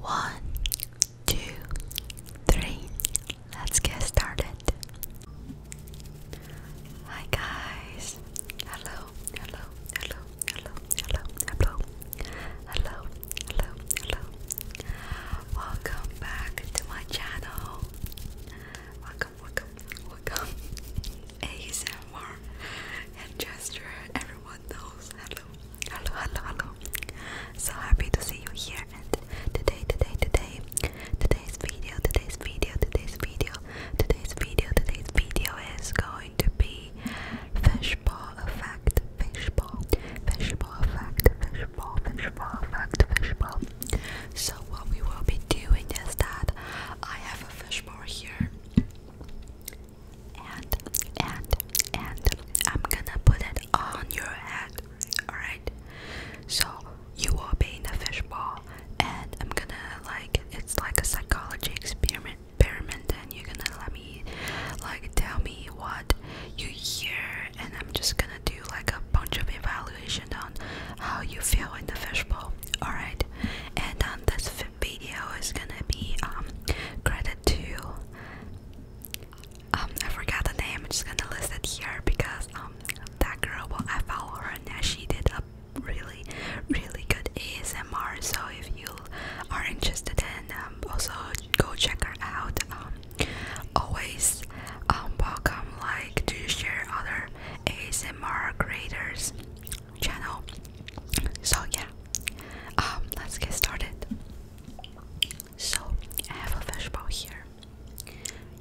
One, two, three. Let's get started. Hi guys. Hello, hello, hello, hello, hello, hello, hello, hello, hello. Welcome back to my channel. Welcome, welcome, welcome. ASMR and gesture. Everyone Hello, hello, hello, hello. So happy to see you here. And today, today, today, today's video, today's video, today's video, today's video, today's video is going to be fishbowl effect, fishbowl, fishbowl effect, fishbowl, fishbowl effect, fishbowl. So what we will be doing is that I have a fishbowl here and and and I'm gonna put it on your head. Alright? So you will be in a fishbowl and I'm gonna like it's like a psychology experiment experiment and you're gonna let me like tell me what you hear and I'm just gonna do like a bunch of evaluation on how you feel in the fishbowl. Alright? And on this video is gonna be um credit to um I forgot the name. I'm just gonna list it here because um that girl well, I follow her and she did a really really good ASMR. So if you are interested in um, also go check her out. Um, always um welcome like to share other ASMR creators channel. So yeah, um, let's get started. So I have a fish fishbowl here.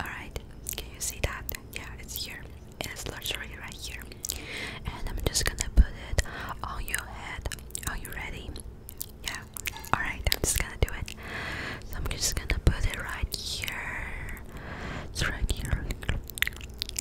Alright, can you see that? Yeah, it's here. It's literally right here. And I'm just gonna put it on your head. Are you ready? Yeah. Alright, I'm just gonna do it. So I'm just gonna put it right here. It's right here.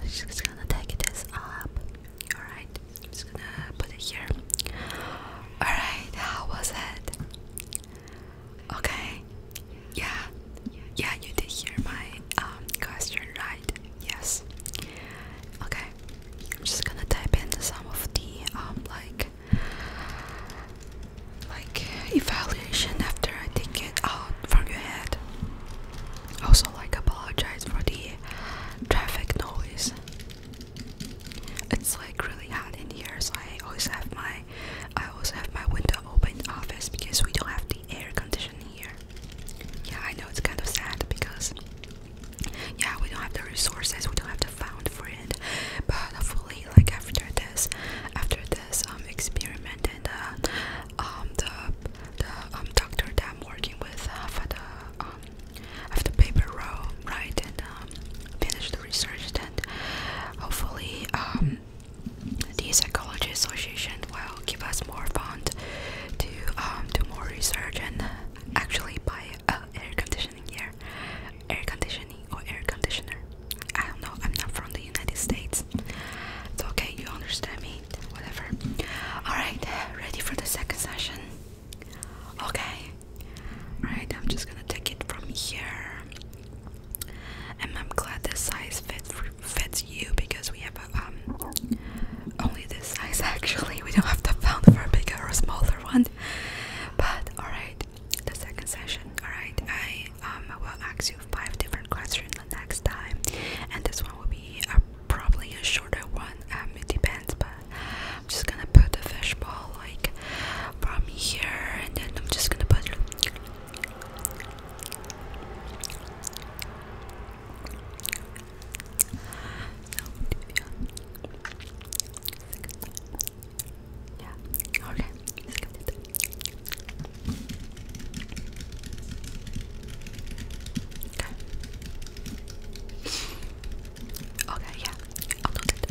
I'm just gonna take this up. Alright, I'm just gonna put it here. Alright, how was it? Okay. Yeah. Yeah, you did hear my um question, right? Yes. Okay. I'm just gonna type in some of the um like like evaluation after I take it out from your head. Also, like, apologize for the traffic noise. It's like really hot in here, so I always have my I always have my window open in the office because we don't have the air conditioning here. Yeah, I know it's kind of sad because yeah, we don't have the resources, we don't have the found for it. But hopefully, like after this, after this I'm um, experiment and uh, um, the the um, doctor that I'm working with uh, for the um, after paper row, right, and um, finish the research. And hopefully, um, the psychology association will give us more fund to um, do more research and actually buy uh, air conditioning here, air conditioning or air conditioner. I don't know. I'm not from the United States. It's okay, you understand me, whatever. Alright, ready for the second session? Okay. Alright, I'm just gonna take it from here. And I'm glad this size fits fits you because we have um only this size actually. We don't have to find for a bigger or smaller one. But alright, the second session. Alright, I um will ask you five different questions the next time, and this one will be uh, probably a shorter one. Um, it depends, but I'm just gonna put the ball like from here, and then I'm just gonna put. Okay. Okay, yeah. I'll note it.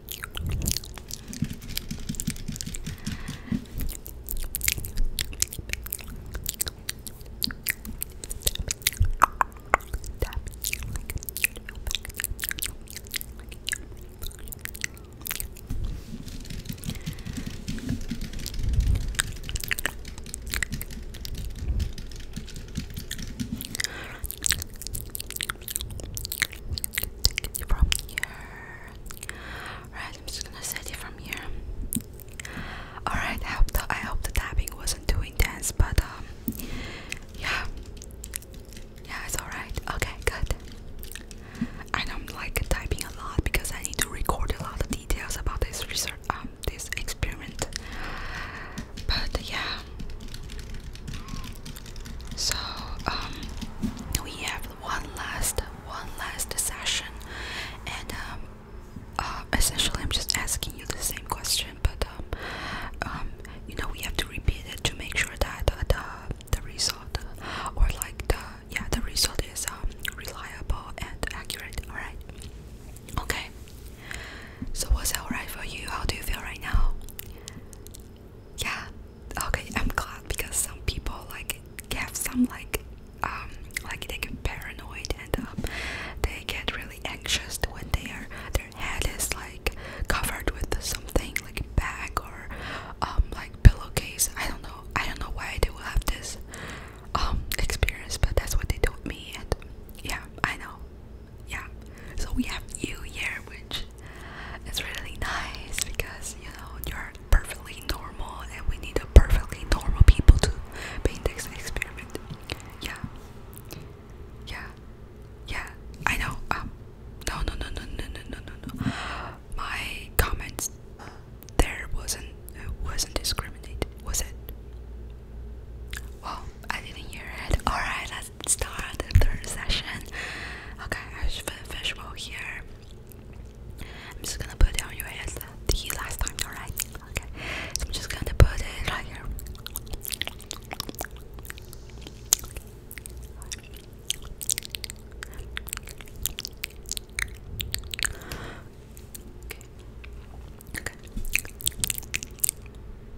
Take it from here. Right, I'm just gonna set it from here. Alright, I hope the I hope the tapping wasn't too intense, but um yeah. Yeah, it's alright. Okay, good. I don't like typing a lot because I need to record a lot of details about this research um this experiment. But yeah. So um we have one last one last session and um, uh, essentially I'm just asking you the same question but um, um, you know we have to repeat it to make sure that the the result or like the yeah the result is um reliable and accurate all right okay so was that alright for you how do you feel right now yeah okay i'm glad because some people like have some like um like they get paranoid and um, they get really anxious when they are their head is like covered with something like a bag or um like pillowcase i don't know i don't know why they will have this um experience but that's what they told me and yeah i know yeah so we have you here which it's really nice because you know you're perfectly normal, and we need a perfectly normal people to be in this experiment. Yeah, yeah, yeah. I know. Um, no, no, no, no, no, no, no, no. My comments there wasn't it wasn't discriminate, was it? Well, I didn't hear it. Alright, that's start the third session. Okay, I have a visual here. I'm just gonna put it on your head the last time, alright? Okay, so I'm just gonna put it right here.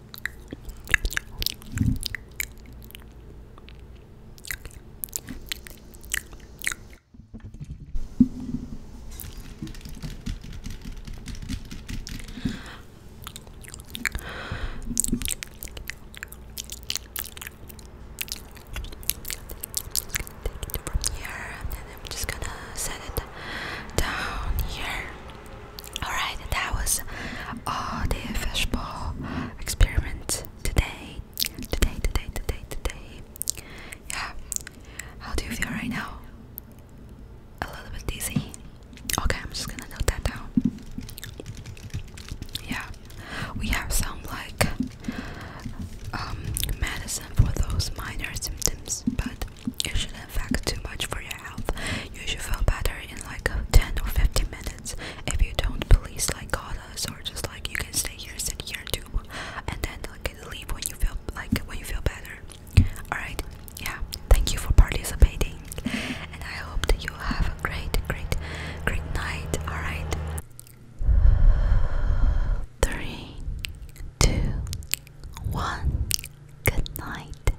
Take it from here and then I'm just gonna set it down here. Alright, that was all uh, the fishbowl experiment today. Today, today, today, today. Yeah. How do you feel right now? A little bit dizzy. Okay, I'm just gonna note that down. Yeah. We have some like um, medicine for those minor symptoms, but too much for your health. You should feel better in like 10 or 15 minutes. If you don't, please like call us or just like you can stay here, sit here too, and then like leave when you feel like when you feel better. Alright, yeah. Thank you for participating, and I hope that you have a great, great, great night. Alright. Three, two, one. Good night.